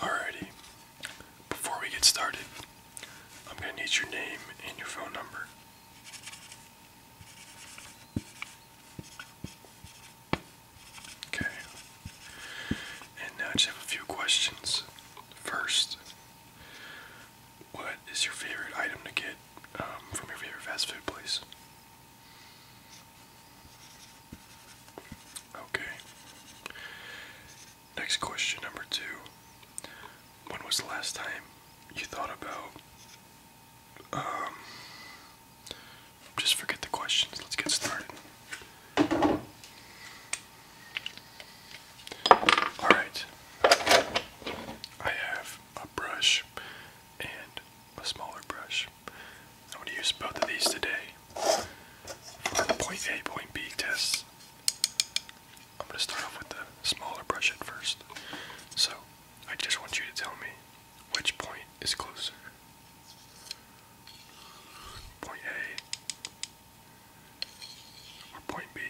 Alrighty, before we get started, I'm going to need your name and your phone number. Okay, and now just have a few questions. First, what is your favorite item to get um, from your favorite fast food place? Okay. Next question, number two. When was the last time you thought about. Um, just forget the questions, let's get started. Alright. I have a brush and a smaller brush. I'm going to use both of these today for the point A, point B tests. I'm going to start off with the smaller brush at first. So, I just want you to tell me which point is closer. Point A or point B?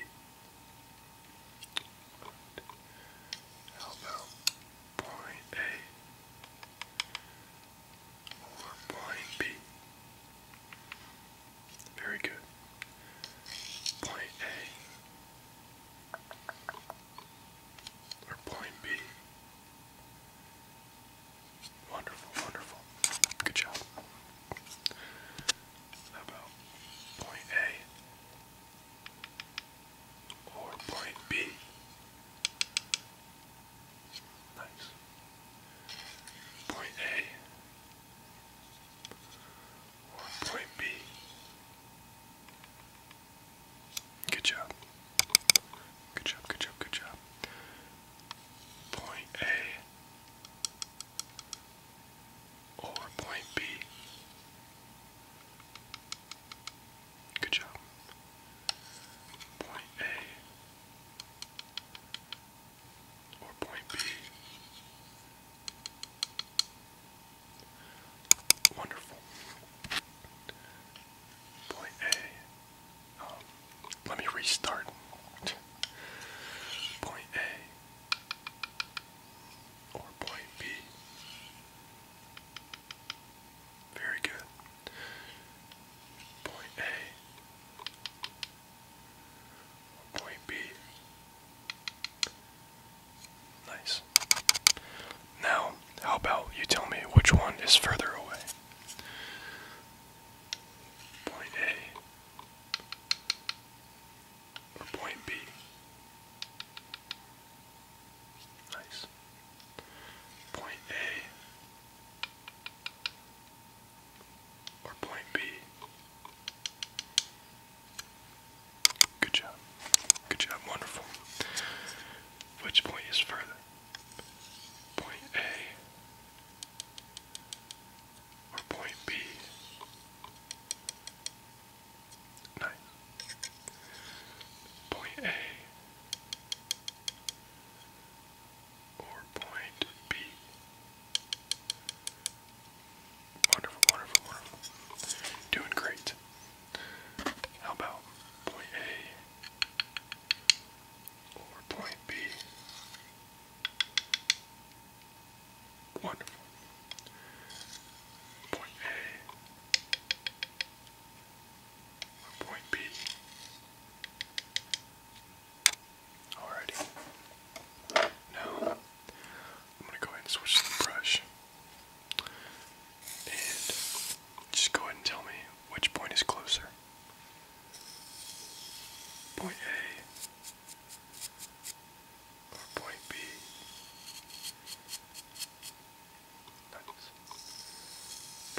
Good. point A or point B? Very good. Point A or point B? Wonderful, wonderful. Good job about point A or point B? Nice. Point A or point B? Good job. Good job, good job, good job. Point A or point B. Good job. Point A or point B. Wonderful. Point A. Um, let me restart. Point A or point B. Very good. Point A or point B. Nice. Now, how about you tell me which one is further away? Point A or point B. Nice. Point A or point B. Good job. Good job. Wonderful. Which point is further? Point A or point B? No. Point A or point B? wonderful, wonderful. Doing great. How about point A or point B? Wonderful. Point A. Point B. Alrighty. Now, I'm going to go ahead and switch the brush. And just go ahead and tell me which point is closer. Point A point B. That's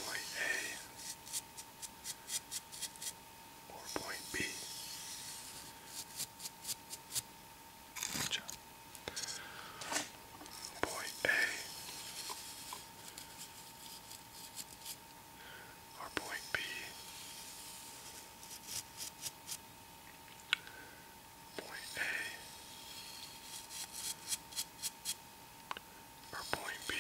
point A or point B. Good job. Point A or point B. Point A or point B.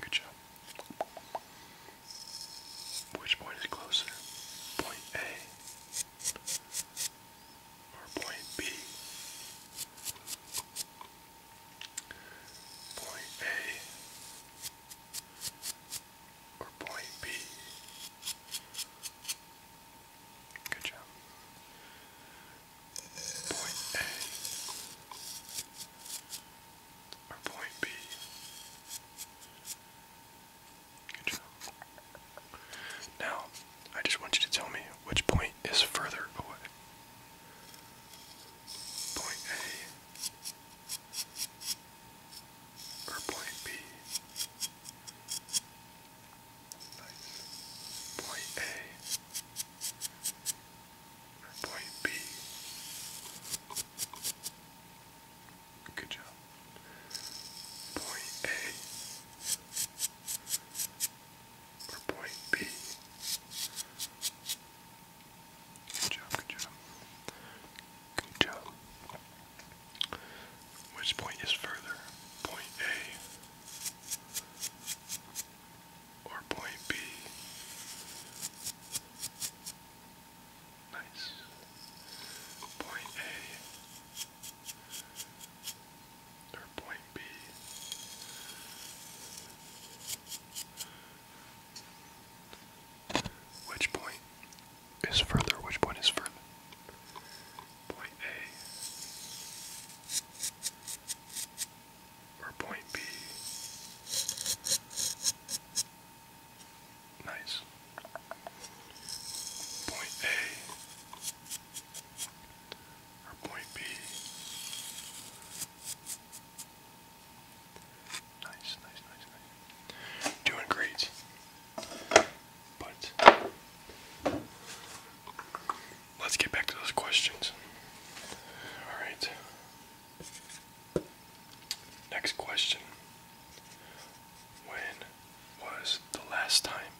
Good job. Which point is closer? Point A or point B? point A or point B. Good job. Point A or point B. Good job. Now, I just want you to tell me which point is further away point A or point B. Nice. Point A or point B. Good job. Point A or point B. Which point is further? Point A or point B? Nice. Point A or point B? Which point is further? Which point is further? Point A or point B? Nice. Point A or point B? Nice, nice, nice, nice. Doing great. But let's get back to those questions. All right. Next question. When was the last time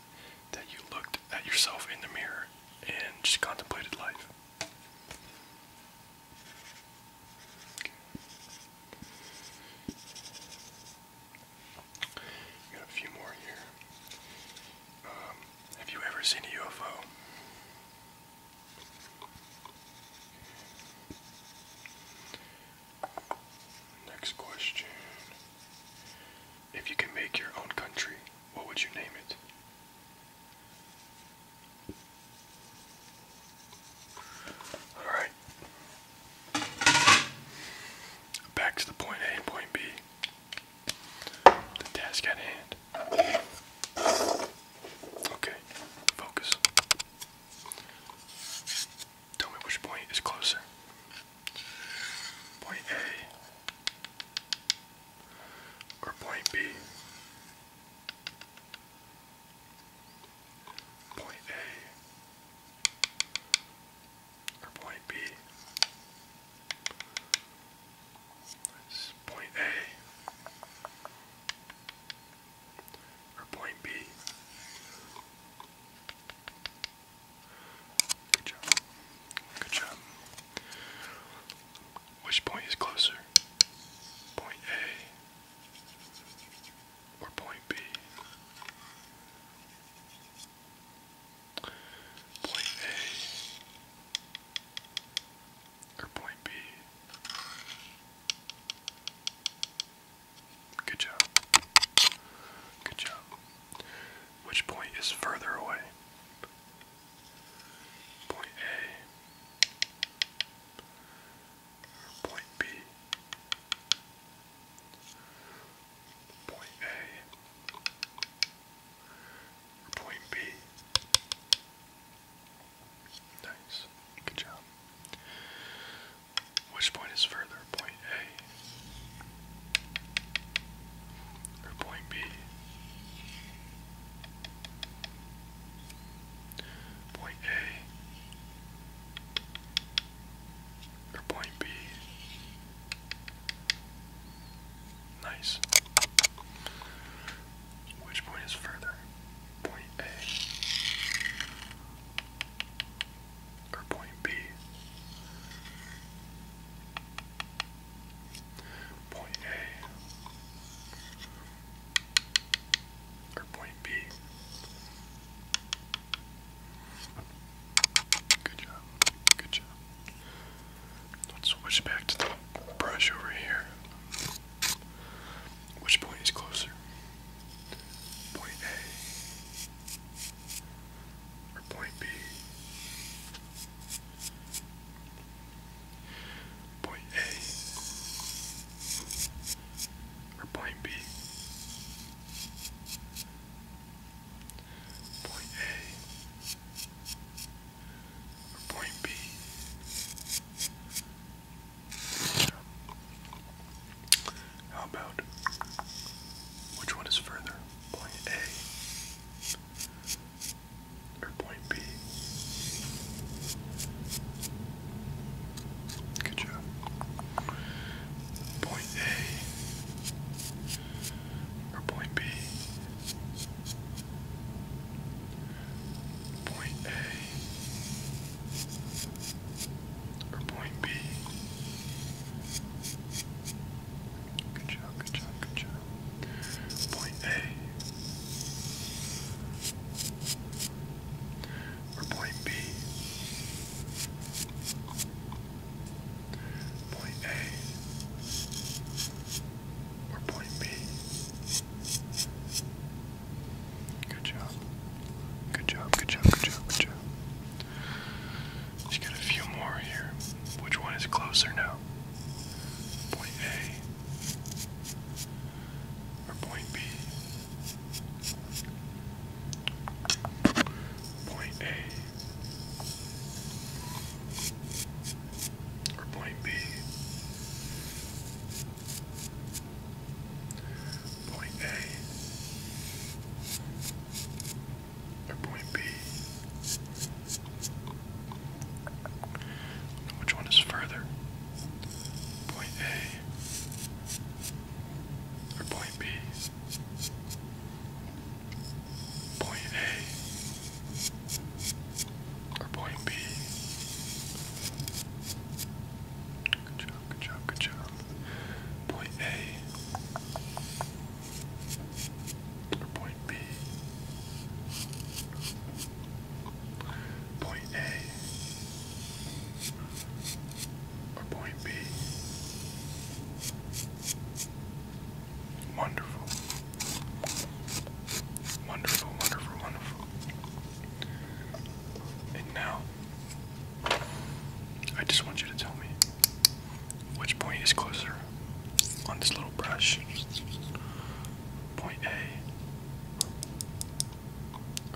that you looked at yourself in the mirror and just contemplated life? Got a few more here. Um, have you ever seen a UFO? Next question. If you can make your own country, what would you name it? Alright. Back to the point A and point B. The task at hand. Okay, focus. Tell me which point is closer. Point A or point B. Point A or point B. point A or point B. Good job. Good job. Which point is closer? Point A or point B? Point A or point B? Good job. Good job. Which point is further away? point A point B. Point A point B. Nice. Good job. Which point is further? Point A or point B. Point A or point B. Nice. Which point is further? Point A or point B? point A or point B. Good job. Good job. Let's switch back to the brush over here. Which point is closer? Point A or point B? Point A or point B. Point A or point B. How about which one is further? Point A or point B. Good job. Point A or point B. Point A or point B. Good job, good job, good job. Point A. Or point B. Point A. Or point B. Good job. Good job, good job, good job, good job. She's got a few more here. Which one is closer now? Point A or point B? Point A or point B? Point A or point B? And which one is further? Point A or point B? Point A or point B? Good job, good job, good job. Point A or point B. Point A or point B. Wonderful. Wonderful, wonderful, wonderful. And now, I just want you to tell me which point is closer on this little brush? Point A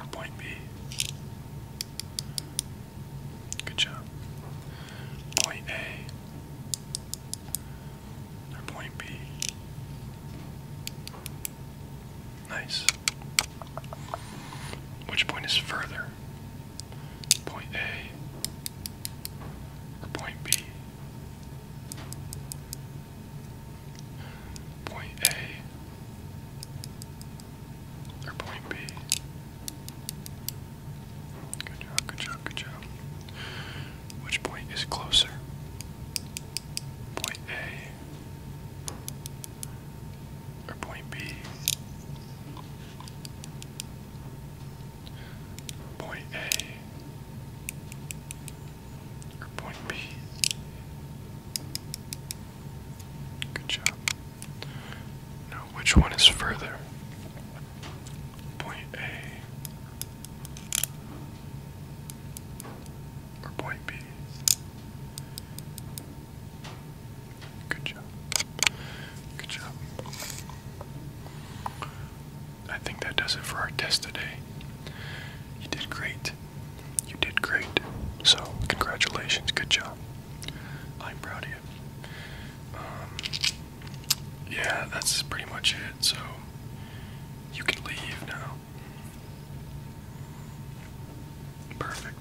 or point B? Good job. Point A or point B? Nice. Which point is further? point A or point B. Point A or point B. Good job, good job, good job. Which point is closer? Point A or point B? point A or point B. Good job. Now, which one is further? Point A or point B? Good job. Good job. I think that does it for our test today. You did great. You did great. So, congratulations. Good job. I'm proud of you. Um, yeah, that's pretty much it. So, you can leave now. Perfect.